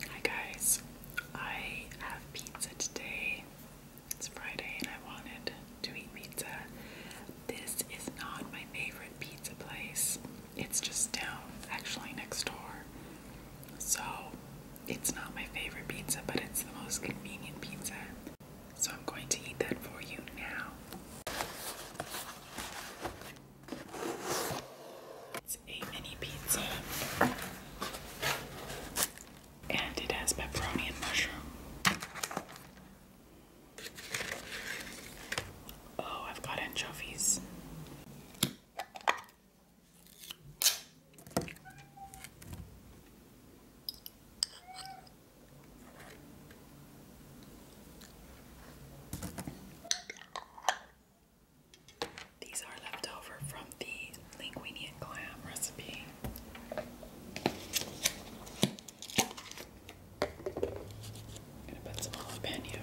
Hi guys, I have pizza today. It's Friday and I wanted to eat pizza. This is not my favorite pizza place. It's just down, actually next door. So it's not my favorite pizza, but it's the most convenient pizza. So I'm going to eat that for you now. It's a mini pizza. And it has pepperoni and mushroom. Oh, I've got anchovies. These are left over from the linguine and clam recipe. gonna put some jalapeno.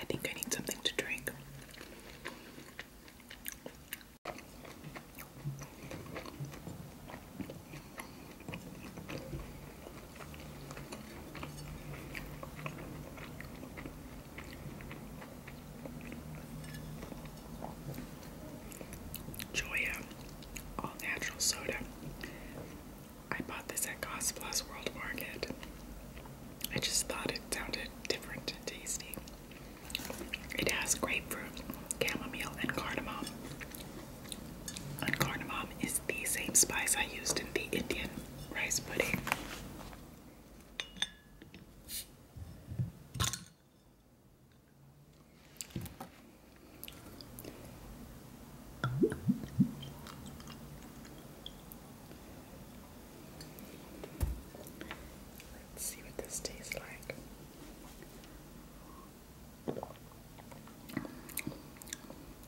I think I need something to drink. Joya All Natural Soda. I bought this at Cost World Market. I just thought it sounded different and tasty. It has grapefruit, chamomile, and cardamom. And cardamom is the same spice I used in the Indian rice pudding. Let's see what this tastes like.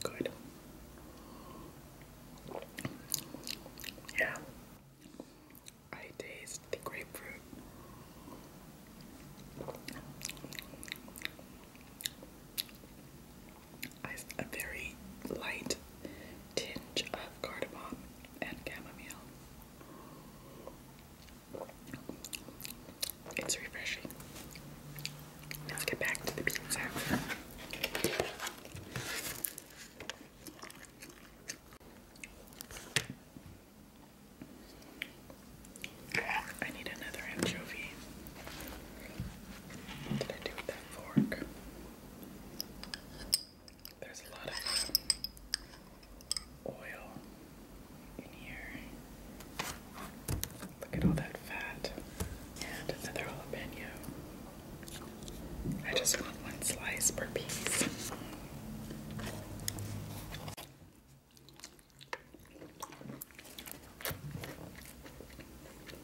Good. Yeah. I taste the grapefruit. I, a very light tinge of cardamom and chamomile. It's refreshing. Let's get back to the pizza. I need another anchovy. What did I do with that fork? There's a lot of oil in here. Look at all that fat and another jalapeno. I just want one slice per piece.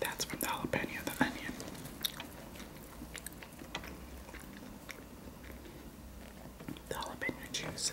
That's from the jalapeno, the onion. The jalapeno juice.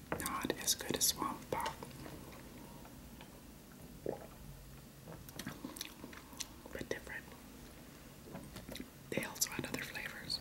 Not as good as Swamp Pop. But different. They also had other flavors.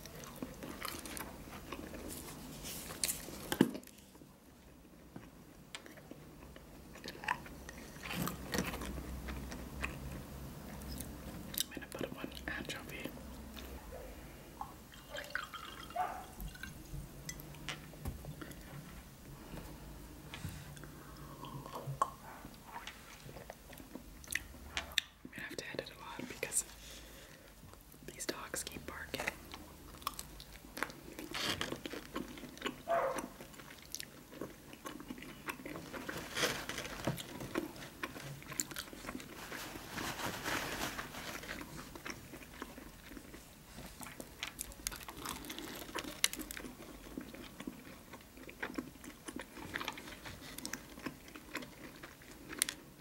I'm gonna put one anchovy. I'm gonna have to edit a lot because these dogs keep barking.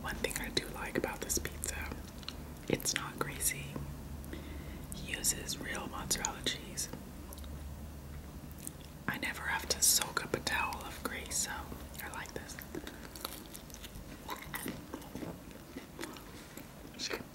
One thing I do like about this pizza, it's not greasy. He uses real mozzarella cheese. I never have to soak up a towel of grease, so I like this.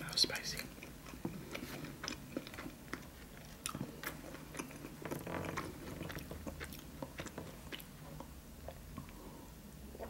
That was spicy.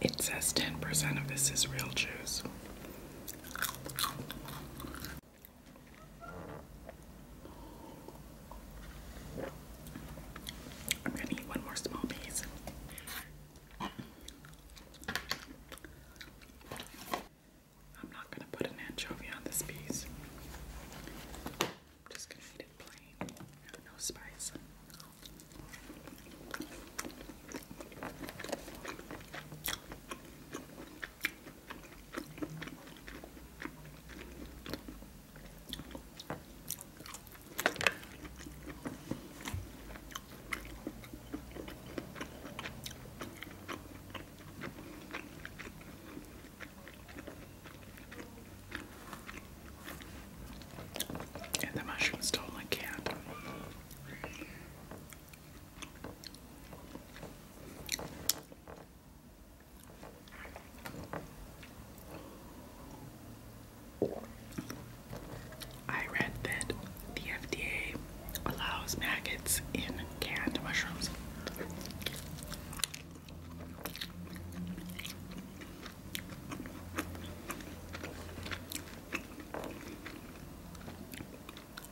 It says 10% of this is real juice. I'm going to eat one more small piece. I'm not going to put an anchovy on this piece. I'm just gonna eat it plain. No spice. And the mushrooms totally can't. I read that the FDA allows maggots in canned mushrooms.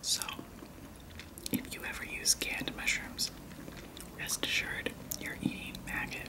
So, if you ever use canned mushrooms, rest assured you're eating maggot.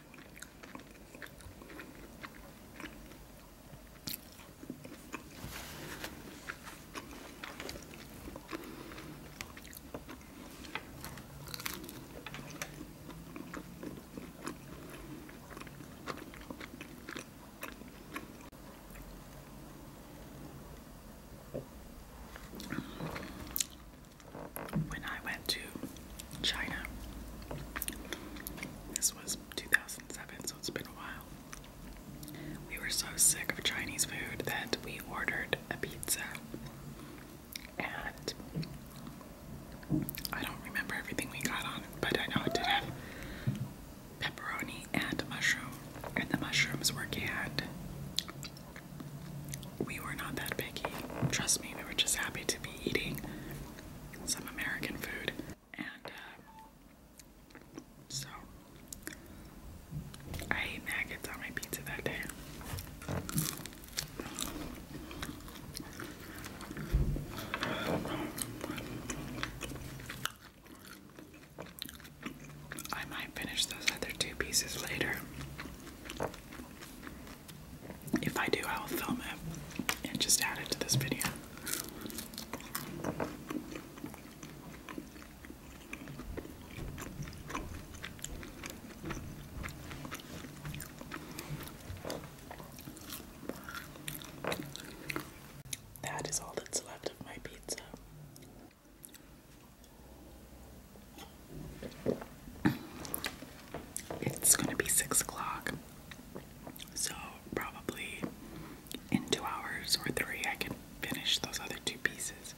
When I went to China. This was 2007, so it's been a while. We were so sick of Chinese food that we ordered a pizza. And I don't remember everything we got on, but I know it did have pepperoni and mushroom. And the mushrooms were canned. We were not that picky. Trust me, we were just happy to be eating some American food, and uh, so I ate maggots on my pizza that day. I might finish those other two pieces later. If I do, I will film it and just add it to this video. That is all that's left of my pizza. It's going to be six o'clock, so, probably in two hours or three, I can finish those other two pieces.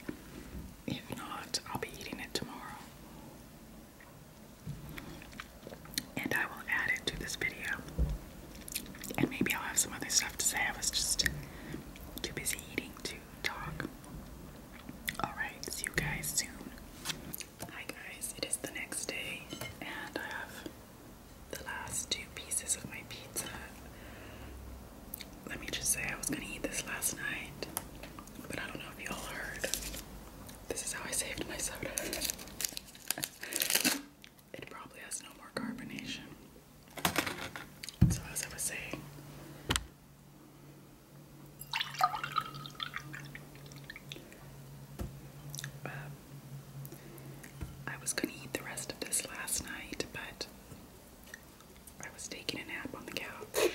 If not, I'll be eating it tomorrow. And I will add it to this video. And maybe I'll have some other stuff to say. I was just too busy eating to talk. Alright, see you guys soon. Hi guys, it is the next day and I have the last two pieces of my pizza. Let me just say I was gonna eat this last night, but I don't know if y'all heard. This is how I saved my soda. it probably has no more carbonation. So as I was saying, I was going to eat the rest of this last night, but I was taking a nap on the couch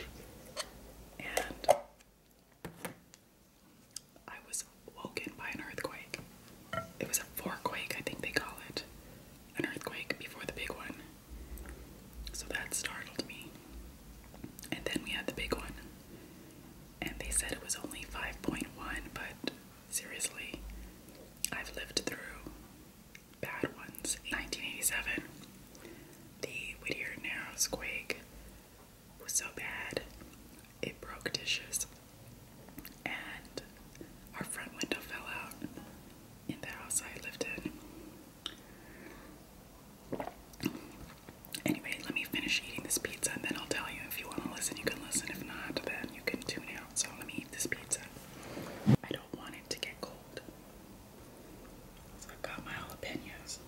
and I was woken by an earthquake. It was a fourquake, I think they call it. An earthquake before the big one. So that startled me. And then we had the big one and they said it was only 5.1, but seriously, I've lived through bad ones. 1987, the Whittier Narrows quake was so bad it broke dishes and our front window fell out in the house I lived in. Anyway, let me finish eating this pizza and then I'll tell you. If you want to listen, you can listen. If not, then you can tune out. So let me eat this pizza. I don't want it to get cold. So i got my jalapenos.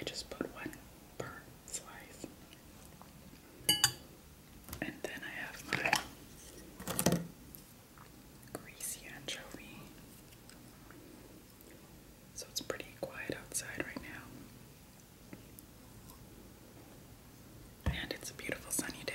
I just put one per slice. And then I have greasy anchovy. So it's pretty quiet outside right now. And it's a beautiful sunny day.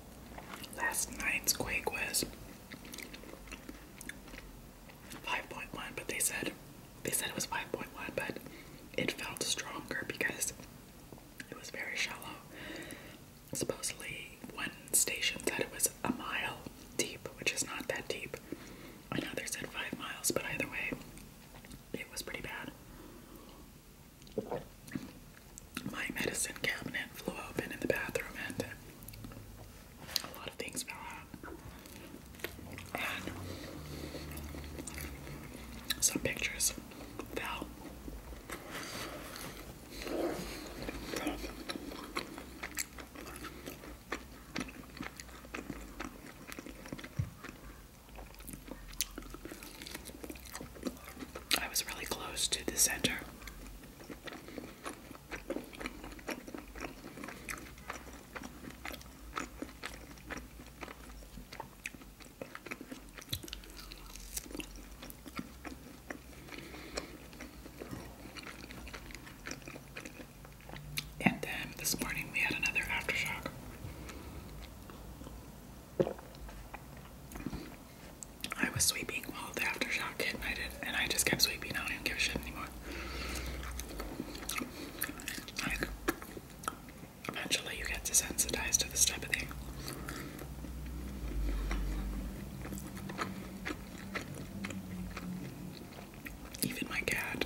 Last night's quake was 5.1, but they said they said it was 5.1, but it felt stronger because it was very shallow. Supposedly, one station said it was a mile deep, which is not that deep. Another said five miles, but either way, it was pretty bad. My medicine cabinet flew open in the bathroom and uh, a lot of things fell And some pictures fell. I was really close to the center. And then this morning we had another aftershock. I was sweeping while the aftershock hit, and I just kept sweeping. I don't give a shit anymore. eventually, you get desensitized to this type of thing. Even my cat,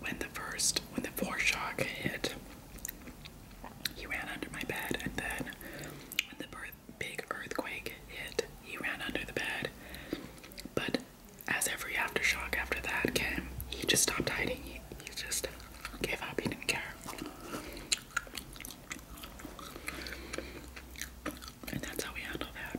when the first, when the foreshock hit, he ran under my bed, and then when the big earthquake hit, he ran under the bed. But as every aftershock after that came, he just stopped hiding. He, just gave up. He didn't care. And that's how we handle that.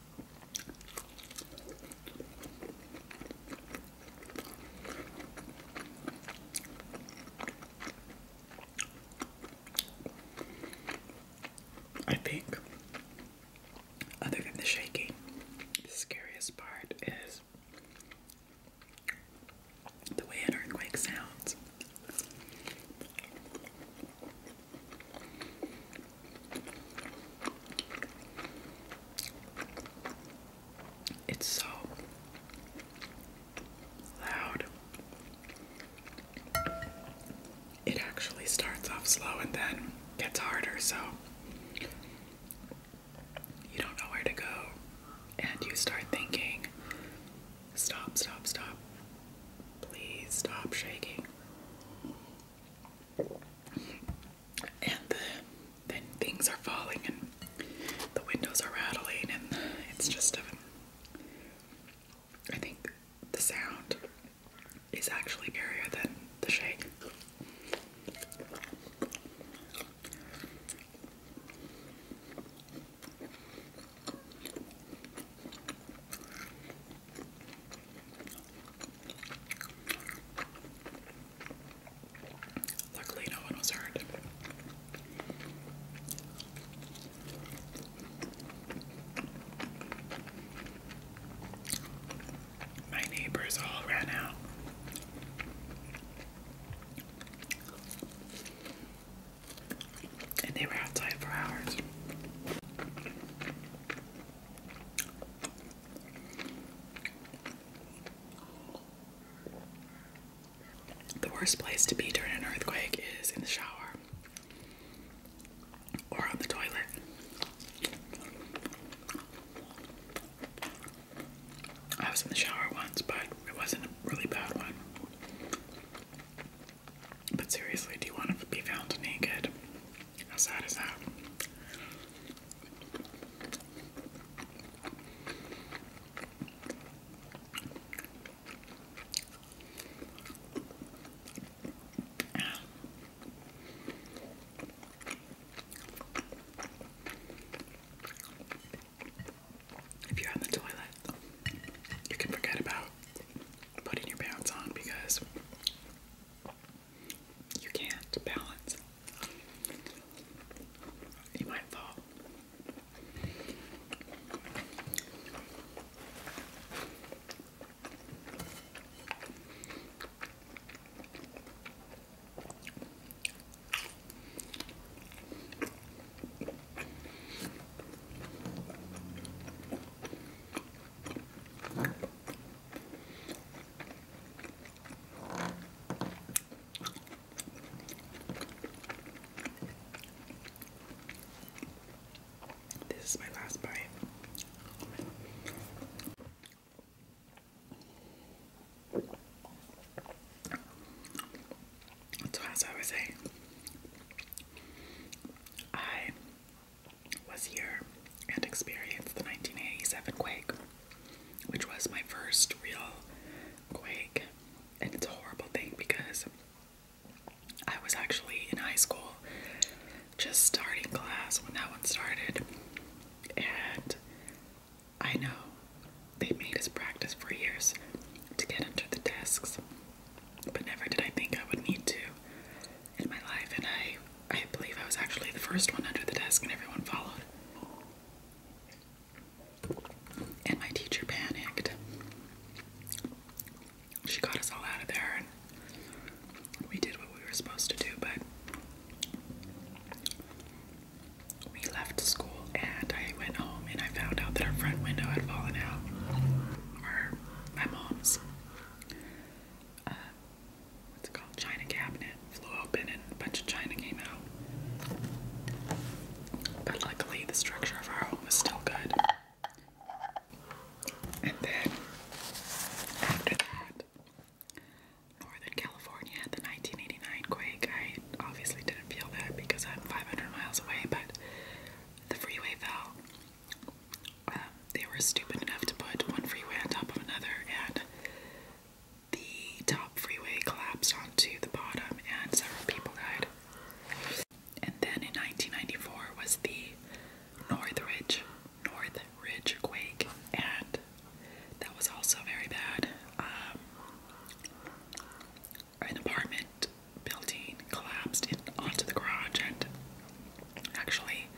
I think, other than the shaking, the scariest part is the way an earthquake sounds. It's so loud. It actually starts off slow and then gets harder, so you don't know where to go. And you start thinking, stop, stop, stop. Please stop shaking and the, then things are falling and the windows are rattling and it's just a I think the sound is actually scarier than the shake. Luckily, no one was hurt. My neighbors all ran out. And they were outside for hours. The worst place to be during an earthquake is in the shower or on the toilet. I was in the shower once, but it wasn't a really bad one. But seriously, do you want to be found naked? That's hot as hot. If you're on the toilet, you can forget about putting your pants on because you can't balance. You might fall. This is my last bite. So as I was saying, I was here and experienced the 1987 quake, which was my first real quake. And it's a horrible thing because I was actually in high school, just starting class when that one started. And I know they made us practice for years to get under the desks, but never did I think I would need to in my life, and I I believe I was actually the first one under the desk, and everyone followed. And my teacher panicked. She got us all out of there, and we did what we were supposed to do, but we left school, and I went home, and I found out that our front window had fallen out. Our, my mom's. Uh, what's it called? China cabinet flew open and a bunch of china came out. But luckily, the structure of our home was still good. And then after that, Northern California had the 1989 quake. I obviously didn't feel that because I'm 500 miles away, but the freeway fell uh, they were stupid enough to put one freeway on top of another, and the top freeway collapsed onto the bottom, and several people died. And then in 1994 was the Northridge Northridge quake, and that was also very bad. Um, an apartment building collapsed onto the garage, and Actually,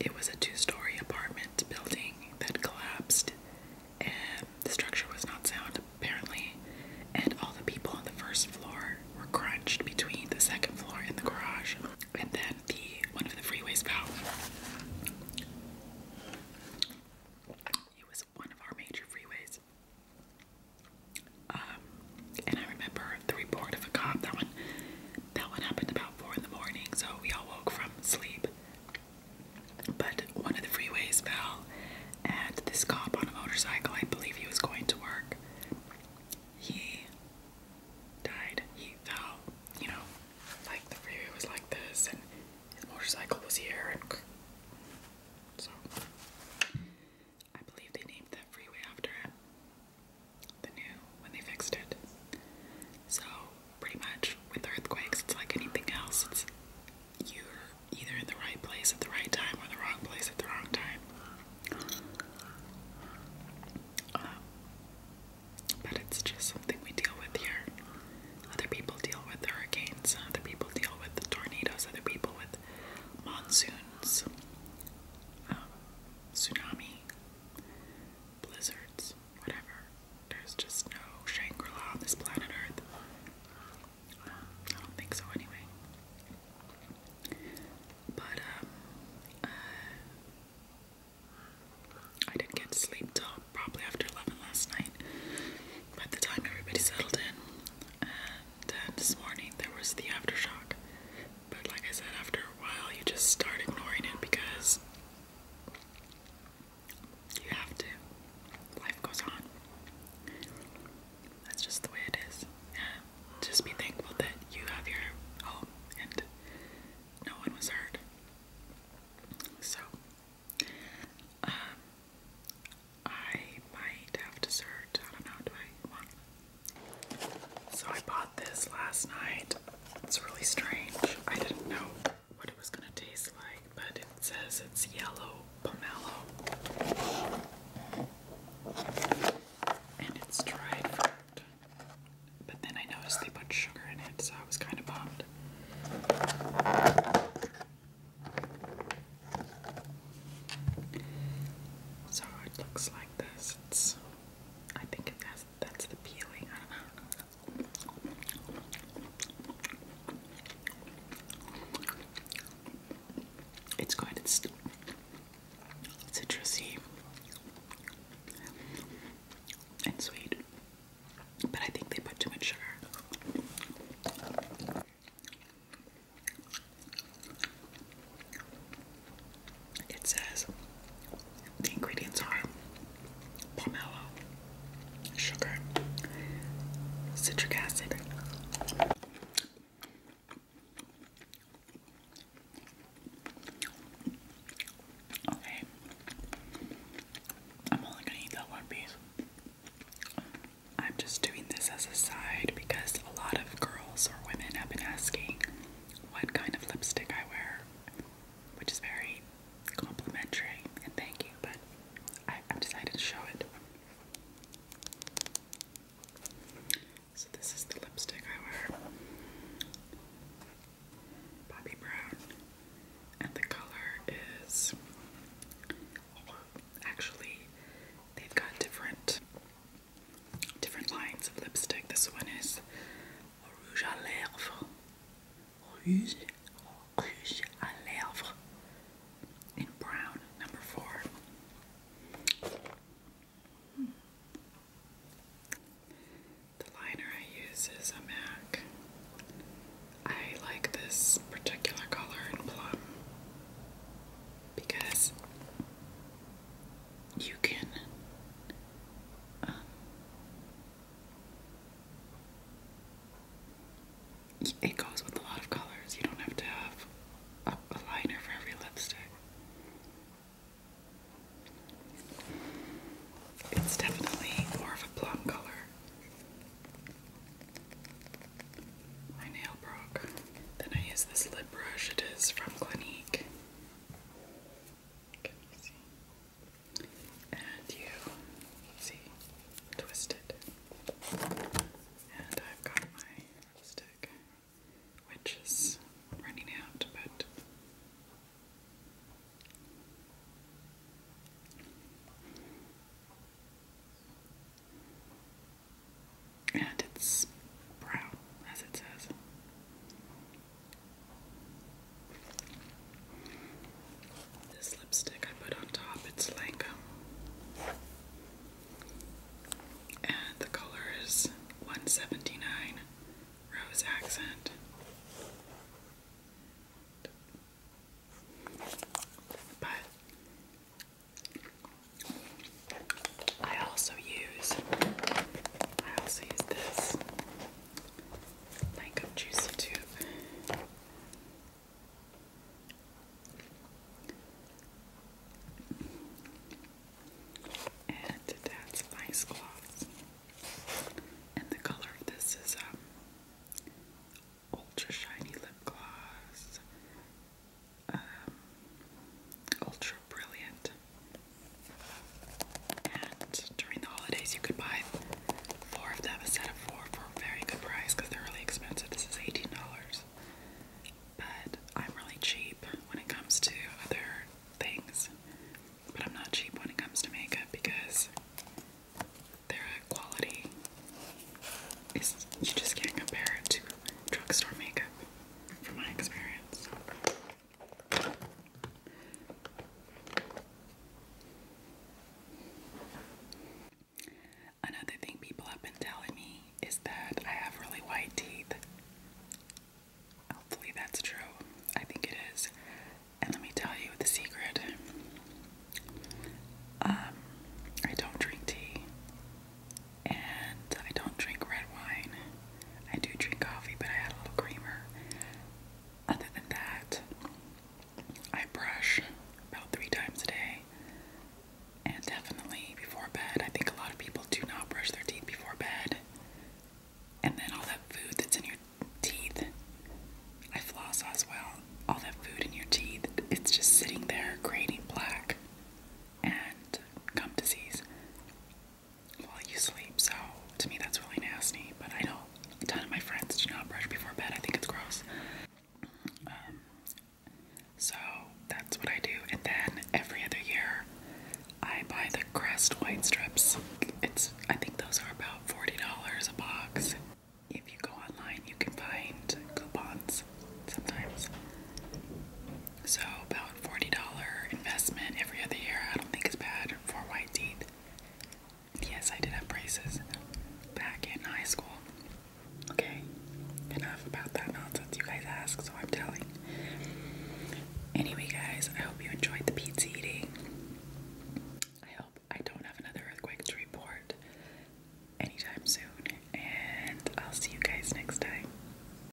it was a two story apartment building that collapsed, and the structure was not sound apparently. And all the people on the first floor were crunched between the second floor and the garage. And then the one of the freeways fell. It was one of our major freeways. Um, and I remember the report of a cop. That one that one happened about four in the morning, so we all woke from sleep. But one of the freeways fell, and this cop on a motorcycle, I believe he was going to work, he died. He fell, you know, like the freeway was like this, and his motorcycle was here, and so I believe they named that freeway after him the new when they fixed it. So pretty much with earthquakes, it's like anything else. It's you're either in the right place at the right time or the wrong place at the wrong time. Um, but it's just something we deal with here. Other people deal with hurricanes. Other people deal with tornadoes. Other people with monsoons, um, tsunami, blizzards, whatever. There's just no Shangri La on this planet Earth. I don't think so, anyway. But, um, uh, I didn't get to sleep till probably after 11 last night. By the time everybody settled in, and uh, this morning there was the aftershock. But like I said, after a while, you just start ignoring it because you have to. Life goes on. That's just the way it is. Yeah. Just be thankful that you have your home and no one was hurt. So, um, I might have dessert. I don't know. Do I so I bought this last night. It's really strange. I didn't know what it was gonna taste like, but it says it's yellow pomelo. And it's dried fruit. But then I noticed they put sugar in it, so I was kind of bummed. So it looks like this. I think it that's the peeling. It's good. It's citrusy and sweet, but I think they put too much sugar. It says the ingredients are pomelo, sugar, citric acid. Okay. I'm only gonna eat that one piece. I'm just doing this as a side because a lot of girls or women have been asking what kind of lipstick I wear, which is very complimentary and thank you, but I, have decided to show it. So, this is the lipstick I wear Bobby Brown, and the color is actually, they've got different different lines of lipstick. This one is Rouge à Lèvres. Rouge, Rouge à Lèvres in brown, number four. Hmm. The liner I use is a MAC. I like this particular color in plum because you can um, it goes with a lot of colors. You don't have to have a, a liner for every lipstick. It's definitely more of a plum color. My nail broke. Then I use this lip brush. It is from Clinique. Can you see? And you And I've got my stick, which is running out, but. And it's brown, as it says. This lipstick I put on top, it's Lancome. And the color is 179 Rose Accent. But I also use I also use this Lancome Juicy Tube. And that's nice Gloss. And the color of this is um ultra shiny lip gloss. Um, ultra brilliant. And during the holidays, you could buy four of them, a set of four, for a very good price because they're really expensive. This is $18. But I'm really cheap when it comes to other things. But I'm not cheap when it comes to makeup because their quality is, you just can't compare it to drugstore makeup, from my experience. Another thing people have been telling me is that I have really white teeth. Hopefully, that's true. I think it is. And let me tell you the secret um, I don't drink tea and I don't drink red wine. I do drink coffee, but I add a little creamer. Other than that, I brush about three times a day. And definitely before bed. I think a lot of people do not brush their teeth before bed. And then all that food that's in your teeth, I floss as well. All that food in your teeth, it's just sitting there creating plaque and gum disease while you sleep. So to me, that's really nasty. But I know a ton of my friends do not brush before bed. I think it's gross. Um, so that's what I do. And then every other year, I buy the Crest white strips. It's I think those are about forty dollars a box. If you go online, you can find coupons sometimes. So about $40 investment every other year. I don't think it's bad for white teeth. Yes, I did have braces back in high school. Okay, enough about that nonsense you guys ask, so I'm telling. Anyway, guys, I hope you enjoyed the pizza eating. I hope I don't have another earthquake to report anytime soon, and I'll see you guys next time.